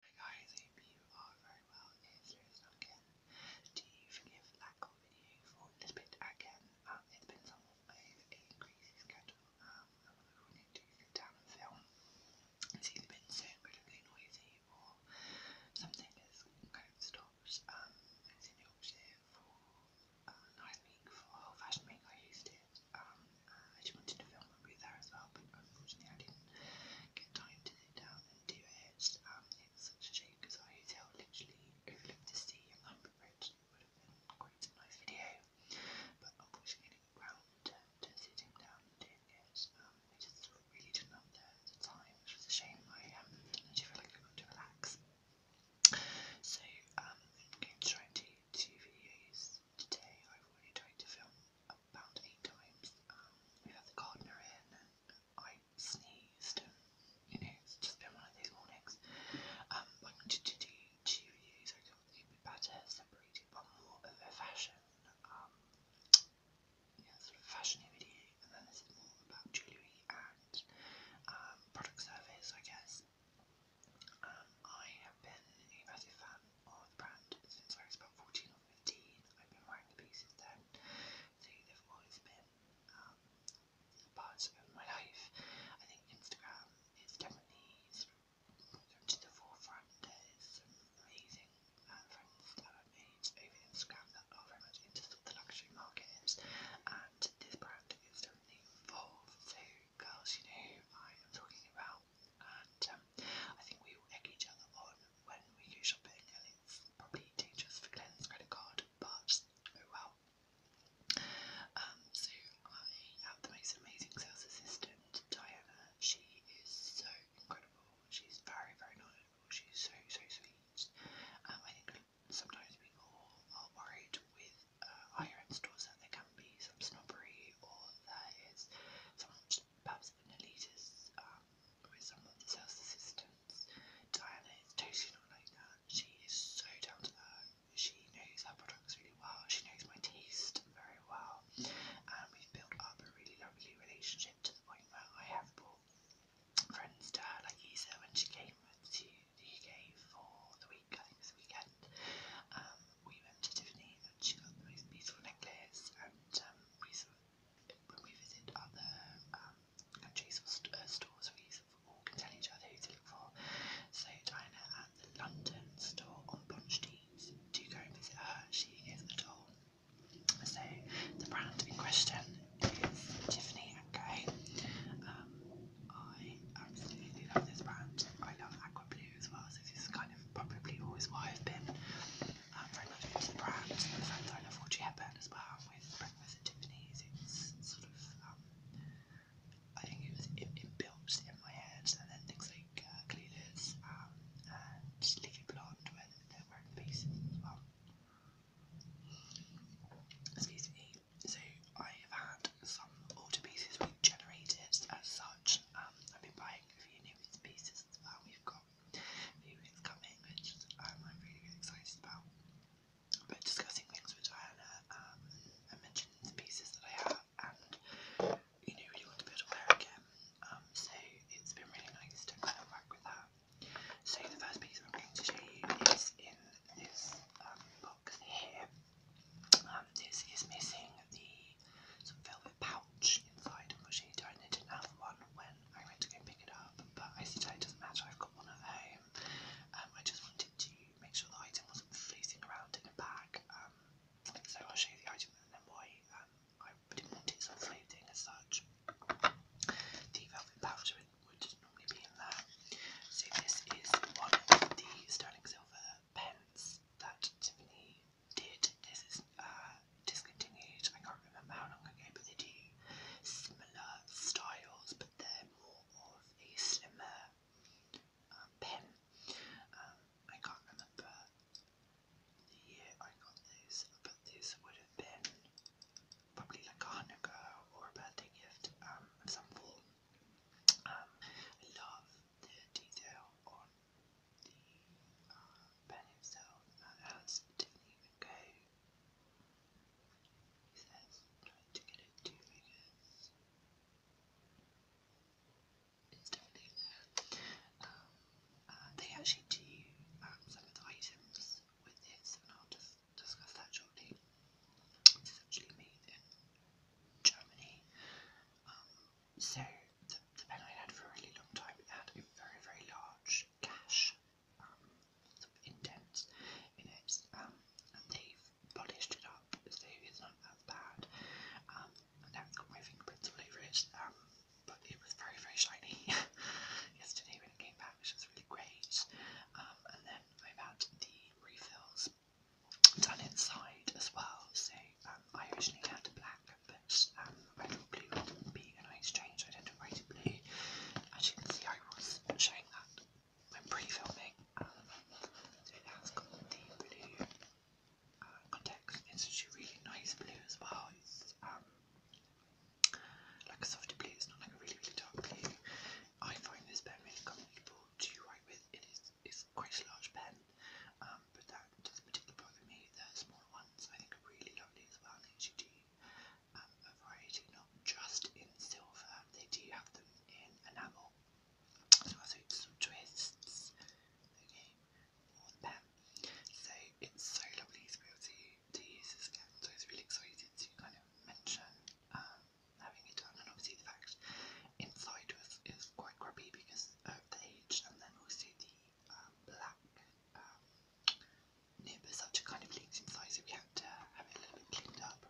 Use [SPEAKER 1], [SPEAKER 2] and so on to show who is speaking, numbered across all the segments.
[SPEAKER 1] regarding the PUR very well is Serious Duncan. Do you forgive that call video for this bit again? Um, it's been somewhat of a crazy schedule. Um, I'm going to sit down and film. It's either been so incredibly noisy or something has kind of stopped. Um, it's in Yorkshire for uh, last week for Fashion Week I used it. Um, uh, I just wanted to film I want be there as well, but unfortunately I didn't get time to sit down and do it. Um, it's such a shame because our hotel literally overlooked the sea and Lambert Bridge. It would have been quite a nice video, but unfortunately I did to sitting down and doing it. Um, just really didn't have the, time, which was a shame. I um, didn't feel like I got to relax. So um, going to try and do two videos today. I've already tried to film about eight times. Um, we had the gardener in. I sneezed. You know, just been one of these mornings. Um, like two, two, two years ago, it would be better separated by more of a fashion, um, yeah, sort of fashionability, and then this is more about jewellery and um, product service, I guess. Um, I have been a massive fan of the brand since I was about 14 original 15, I've been wearing the piece since they've always been um, parts of my life. I think Instagram is definitely sort to the forefront. There's some amazing uh, friends that I've made over Instagram that are very much into the luxury market And this brand is definitely involved. So, girls, you know I am talking about and um, I think we egg each other on when we go shopping, and probably dangerous for Glenn's credit card, but oh well. Um, so I have the most amazing sales assistant, Diana. She is so incredible. She's very, very knowledgeable. She's so, so sweet. Um, I think sometimes people are worried with uh, end stores that there can be some snobbery or there is so perhaps an elitist um, with someone that sells assistance. Diana is totally not like that. She is so down to earth. She knows her products really well. She knows my taste very well. And we've built up a really lovely relationship to the point where I have brought friends to her, like Isa when she came to the UK for the week, I think it was the weekend. Um, we went to Tiffany and she got the most beautiful necklace and um, we saw when we visit other um, countries or uh, stores, we all can tell each other who to look for. So Diana at the London store on Bond Street, do go and visit her. She is the doll. So the brand in question is Tiffany & Co. Um, I absolutely love this brand. I love Aqua Blue as well, so this is kind of probably always why I've been I'm um, very much into the brand and the fact that I love watching Hepburn as well with Breakfast at Tiffany's. It's sort of, um, I think it was it, it built in my head, and then things like uh, um, and Leafy Blonde where they're wearing pieces as well. Excuse me. So I have had some order pieces we as such. I've been buying a few new pieces as well. We've got few things coming, which I'm really, excited about. But discussing things with Diana um, and the pieces that I have, and you know, really want to be able to again. Um, so it's been really nice to kind of work with that. So the first piece I'm going to show you is in this um, box here. Um, this is missing the some velvet pouch inside, which I didn't have one when I went to go pick it up, but I said oh, it doesn't matter, I've got one at home. Um, I just wanted to make sure the item wasn't floating around in a bag, um, so I'll show you the item and then why um, I didn't want it floating as such. The velvet pouch would normally be in there. So this is one of the sterling silver pens that Tiffany did. This is uh, discontinued. I can't remember how long ago, but they do similar styles, but they're more of a slimmer um, pen. Um, I can't remember the year I got this, but this would have been probably like a Hanukkah or a birthday gift um, of some form. Um, I love the detail on the uh, Ben himself, not even go. He says, trying to get it two figures. It's definitely there. Um, uh, they actually do um, some items with this, and I'll just discuss that shortly. This is actually made in Germany. Um, so the, pen I had for a really long time had a very very large gash, um, indent in it, um, they've polished it up so it's not that bad. Um, and now got my fingerprints all over it, um, but it was very very shiny yesterday when it came back, which was really great. Um, and then i had the refills done inside as well. So um, I originally had black this um, available blue would be an exchange I did a rated blue. As you can see, I was showing that when pre-filming. Um, so it has got the blue uh, context. It's such a really nice blue as well. It's um, like a softer blue. It's not like a really really dark blue. I find this pen really comfortable to write with. It is it's quite a large pen. Um, um, but that doesn't particularly me. The smaller ones I think are really lovely as well. They um, a variety, not just in silver. They do have them in enamel. So I think some twists. Okay, or the So it's so lovely to be able to, to use again. So I really excited to kind of mention um, having it done, and obviously the fact inside was is quite grubby because of the age, and then also um, black um, such a kind of leaks inside, so we had to have it a little bit cleaned up.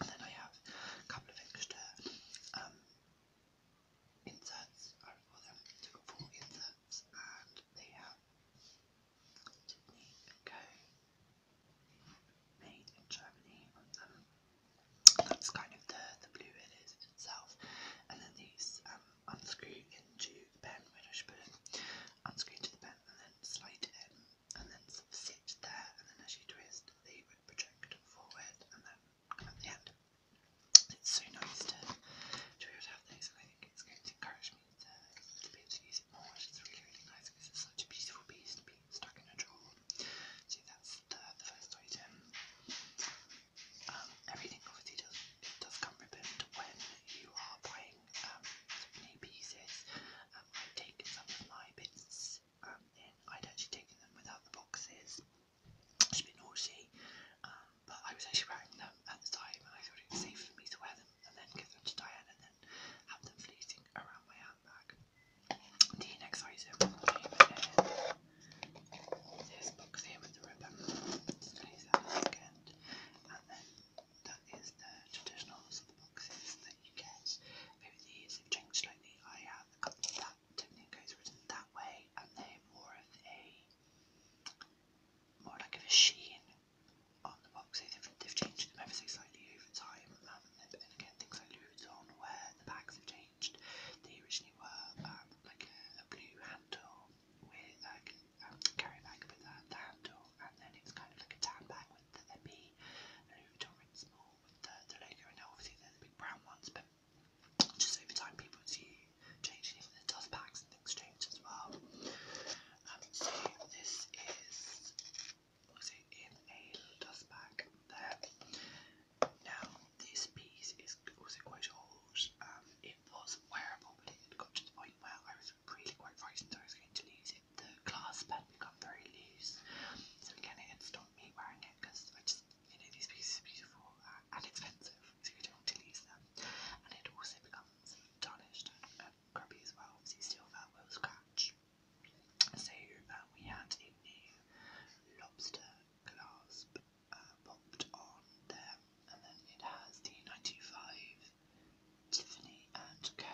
[SPEAKER 1] And then I have a couple of extra um, inserts, I would them, so i inserts, and they have Disney made in Germany That's kind of the, the blue it is itself. And then these um, unscrew into the pen where I should put it, unscrew to the pen and then slide it in and then sit there and then as you twist the would project forward and then at the end. It's so nice to, to be able to have these I think it's going to encourage me to, be able to use it more which really really nice because it's such a beautiful piece to be stuck in a drawer. So that's the, the first item. Um, everything obviously does does come ribboned when you are buying um, pieces. Um, I've some of my bits um, in. I'd actually taken them without the boxes. It's a bit naughty, um, but I was actually wearing them at the time, and I thought it was safe for me to wear them and then give them to Diane and then have them fleeting around my handbag. The next item this box here with the ribbon. It's 27 second. And then that is the traditional boxes that you get. Over the years they changed slightly. I have a couple of goes written that way and they're more of a more like a sheen on the boxes. They've, changed them ever so slightly over time. Um, and again things like Louis Vuitton where the bags have changed. They originally were um, like a blue handle with like a carry bag with a, handle, and then it's kind of like a tan bag with the MP looped or in small with the, the logo, and obviously they're the big brown ones, but just over time people see changing, even the dust bags and things change as well. Um, so this is also in a dust bag there. Now, this piece is was quite old. Um, it was wearable, but it had got to the point where I was really quite frightened I was going to lose it. The clasp had become very loose, so again it had stopped me wearing it because I just, you know, these pieces are beautiful uh, and expensive, so you don't want to lose them. And it also becomes tarnished and uh, grubby as well, so you still scratch. So uh, we had a new lobster clasp popped uh, on them, and then it has the 925 Tiffany and Co.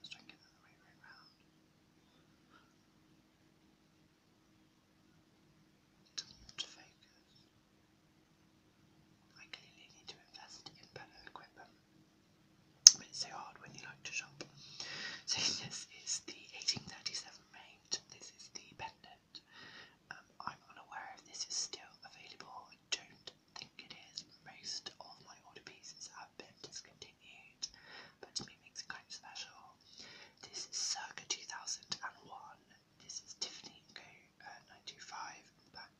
[SPEAKER 1] Let's try and get that the right way It I clearly need to invest in better equipment. But it's so hard when you like to shop. So this is the 1837 mate. This is the Bender um, I'm unaware if this is still available. I don't think it is. Most of my older pieces have been discontinued, but to me makes it kind of special. This is circa 2001. This is Tiffany Co. Uh, 925 back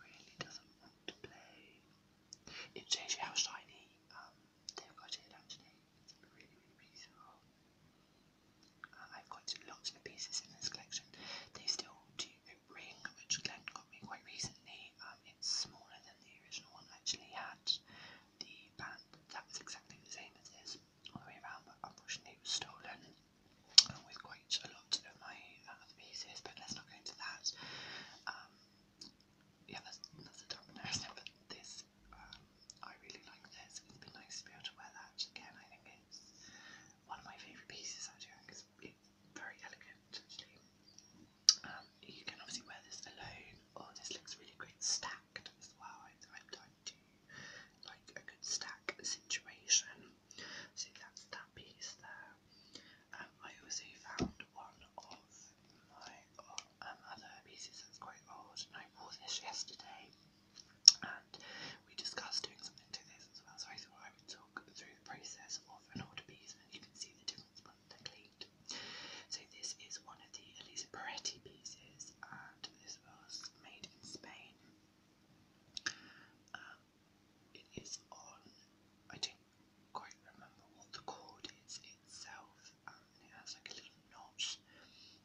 [SPEAKER 1] really doesn't want to play. It shows you how shiny um, they've got it actually. It's really, really beautiful. Uh, I've got lots of pieces in this collection. They still do a ring, which Glenn got me quite recently. Um, it's smaller than the original one actually had. The band that was exactly the same as this all the way around, but unfortunately it was stolen along with quite a lot of my uh, other pieces. But let's not go into that. Um, yeah, that's, that's a this. Um, I really like this. It's been nice to be able to wear that again. I think it's one of my favourite pieces actually. I think it's, it's very elegant actually. Um, you can obviously wear this alone, or this looks really great stacked as well. I, I, I do like a good stack situation. So that's that piece there. Um, I also found one of my other pieces that's quite old, I wore this yesterday, and we discussed doing something to this as well, so I thought I would talk through the process of an older piece, and you can see the difference when they're cleaned. So this is one of the Elisa Peretti pieces, and this was made in Spain. it is on, I don't quite remember what the cord is itself, um, and it has like a little notch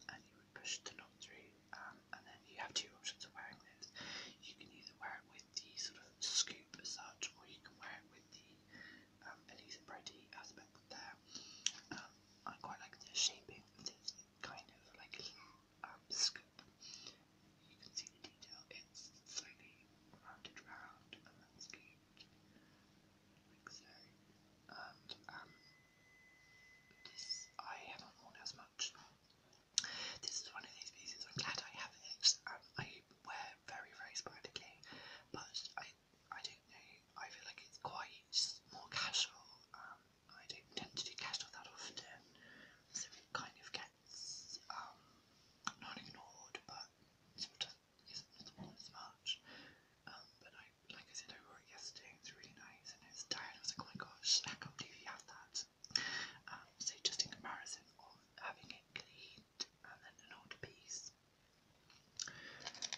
[SPEAKER 1] and you would push the knot through um, and then you have two options of wearing this. You can either wear it with the sort of scoop as such or you can wear it with the um, Elise Brody aspect there. Um, I quite like the shaping of this, it's kind of like a little um, scoop. You can see the detail, it's slightly rounded round and then scooped. Um, this I haven't worn as much. This is one of these pieces. I'm glad I have it. Um, I wear very very sporadically, but I I don't know. I feel like it's quite more casual. Um, I don't tend to do casual that often, so it kind of gets um not ignored, but sort isn't as much. but I, like I said, I wore it yesterday. It's really nice, and it's tired. I was like, oh my gosh, I can't you have that. Um, so just in comparison having it cleaned um, and then an old piece.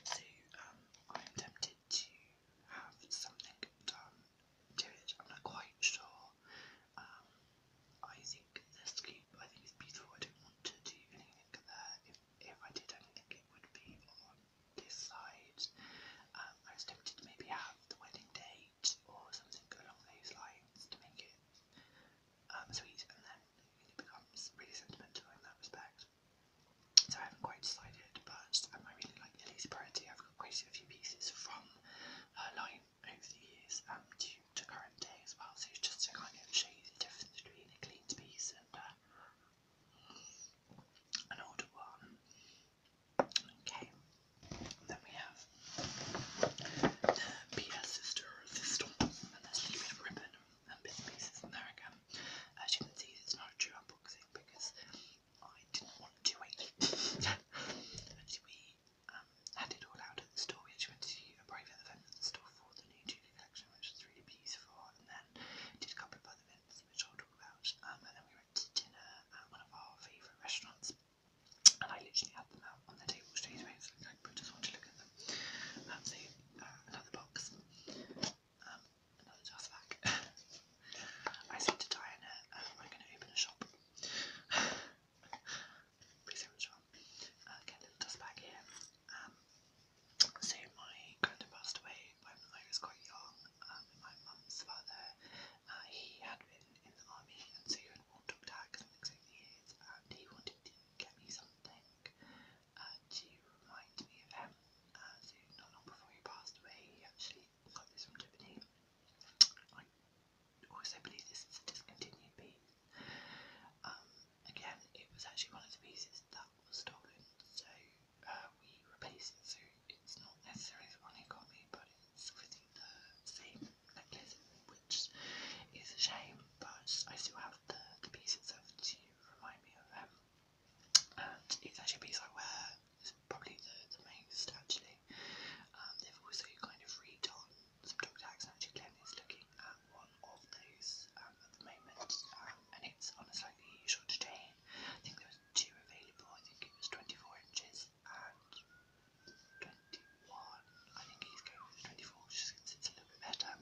[SPEAKER 1] So um, I'm tempted to have something done to it. I'm not quite sure. I think the scoop, I think it's beautiful. I don't want to do anything there if if I did, not think it would be on this side. Um, I was tempted to maybe have the wedding date or something along those lines to make it um, sweet, and then it becomes really sentimental in that respect. So I haven't quite decided, but I really like Lily's Priority. I've got quite a few pieces from her line over the years um, to, current day as well, so just to kind of show you the difference between a clean piece and uh, an one. Okay, then we have the PS Sister and there's little ribbon and bits and pieces in there again. As you can see, it's not a true unboxing because I didn't want to wait. we um, had it all out at the store. We actually went to a private event at the store for the new TV collection, which is really beautiful, and did a couple of other events, which I'll talk about. Um, and then we went to dinner at one of our favourite restaurants. And I literally had them out on the table straight away, so I just wanted to look at them. Um, so, uh, another box. Um, another dust bag. I said to Diana, um, I'm going to open a shop. Pretty uh, little dust bag here. So my granddad passed away when I was quite young. Um, my mum's father, uh, he had been in the army, and so he had walked up to academics over the years, and he wanted to get me something uh, to remind me of him. Uh, so not long before he passed away, he actually got this from Tiffany. I also believe this is a discontinued piece. Um, again, it was actually one of the pieces that was stolen, so uh, we replaced it. So it's not necessarily the one he got me, but it's within the same necklace, which is a shame. But I still have the, the piece itself to remind me of him, um, and it's actually a piece I wear. probably the, the most actually. Um, they've also kind of redone some dog tags actually looking um, one of those at the moment, um, and it's on a slightly shorter chain. I think there two available. I think it was 24 inches and 21. I think he's going for 24 just it's a little bit better.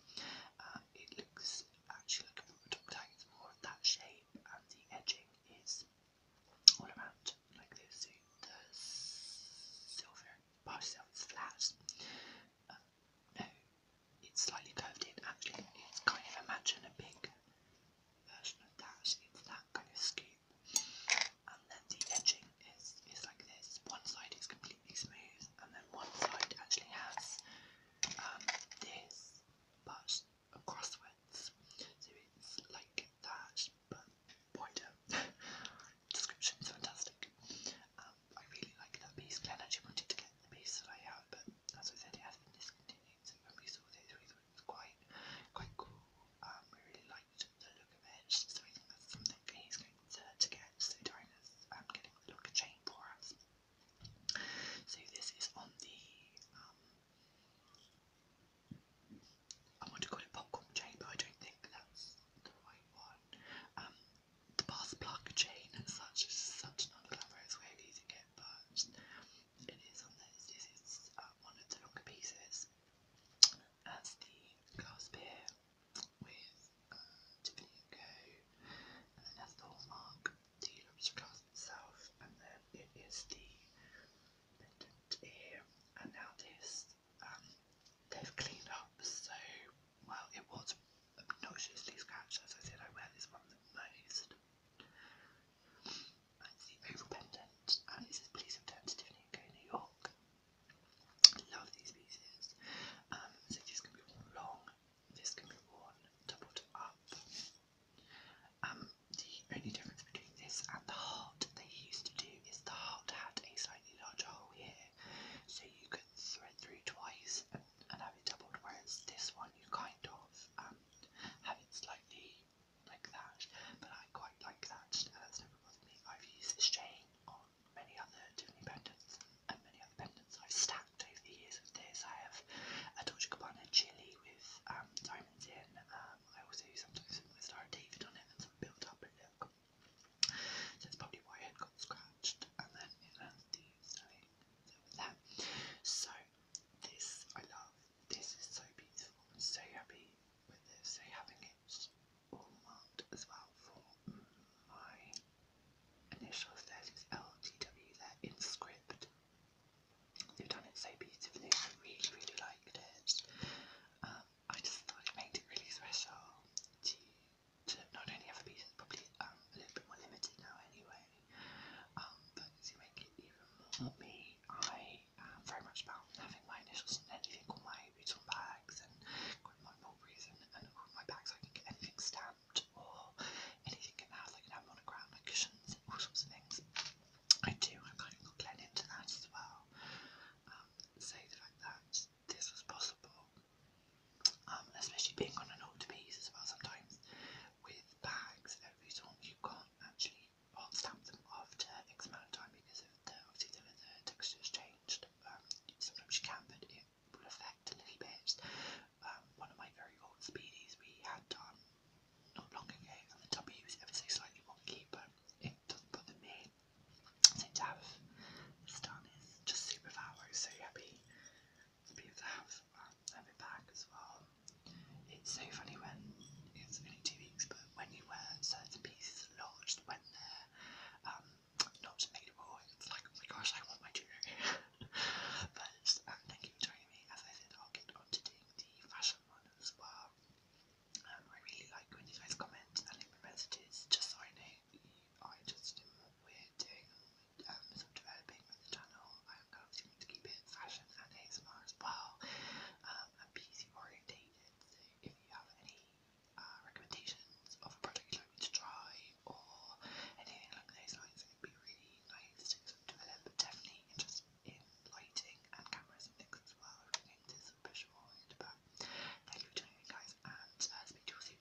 [SPEAKER 1] Uh, it looks actually like a top tag. It's more of that shape, and the edging is all around like this. silver part itself no, it's slightly curved in. Actually, it's kind of imagine a big version of that. It's that kind of scoop, and then the edging is is like this. One side is completely smooth, and then one side actually has um, this, but crosswords. So it's like that, but wider. Description's fantastic. Um, I really like that piece. Glenn actually wanted to get the piece that I have, but as I said, it has been discontinued. So when we saw this, we thought it was quite, quite cool. Um, we really liked the look of it. So I think that's something he's going to, to get. So Dinah's um, getting the locker chain for us. So this is on the um, I want to call it popcorn chain, but I don't think that's the right one. Um, the bath plug chain as such is such an elaborate way of using it, but it is on this. This is uh, one of the longer pieces as the glass here with uh, Tiffany & And then that's the hallmark, the lobster itself, and then it is the pendant here. And now this, um, they've cleaned up, so well, it was obnoxiously scratched. As I said, I wear this one the most. It's the oval and it says, please return to Tiffany & Co. New York. Love these pieces. Um, so this can be worn long, this can be worn doubled up. Um, the only difference between this and the heart they used to do is the heart had a slightly larger hole here, so you could thread through twice and have it doubled, whereas this one you kind of um, have it slightly like that, but I quite like that, and that's never bothered me. I've used this chain on many other Tiffany pendants and many other pendants I've stacked over the years with this. I have a Dolce Gabbana chili with um, diamonds in. Um, I also use sometimes some Star David on it and some built up look. So that's probably why it got scratched, and then it has the that. So this I love. This is so beautiful. so happy with this. So having it all marked as well for my initials. There's LTW there in They've done it so beautifully. I really, really liked it. Um, I just thought it made it really special to not only have a piece that's probably um, a little bit more limited now anyway, um, but to make it even more me, I am very much about having my initials on anything, all my Booton bags and my Mulberries and, and my bags, I can get anything stamped or anything in house, I can have monogram, like cushions, and all sorts of things. I do, I've kind of got Glenn into that as well. Um, so the fact that this was possible um, especially being on an older piece as well sometimes with bags every time you can't actually stamp them after X amount of time because obviously the, the texture's changed um, sometimes you can but it will affect a little bit um, one of my very old speedies we had done not long ago and the W was ever so slightly wonky but it doesn't bother me to have this is just super fab I was so happy to be able to have have it back as well. It's so funny when it's only two weeks, but when you wear certain pieces a lot, when they um, not available, it's like, oh my gosh, I want my jewelry. but um, thank you for As I said, I'll get on doing the fashion one as well. Um, I really like when you guys comment and leave messages, just so I know you are interested in what we um, sort developing with the channel. I'm continuing to keep it fashion and ASMR as well, um, and beauty orientated. So if you have any uh, recommendations of a you'd like me to try or anything along those lines, it would be really nice to develop. But definitely interested in lighting and cameras and things as well. Everything is sort of visual. But thank you for joining me, guys, and uh, speak to you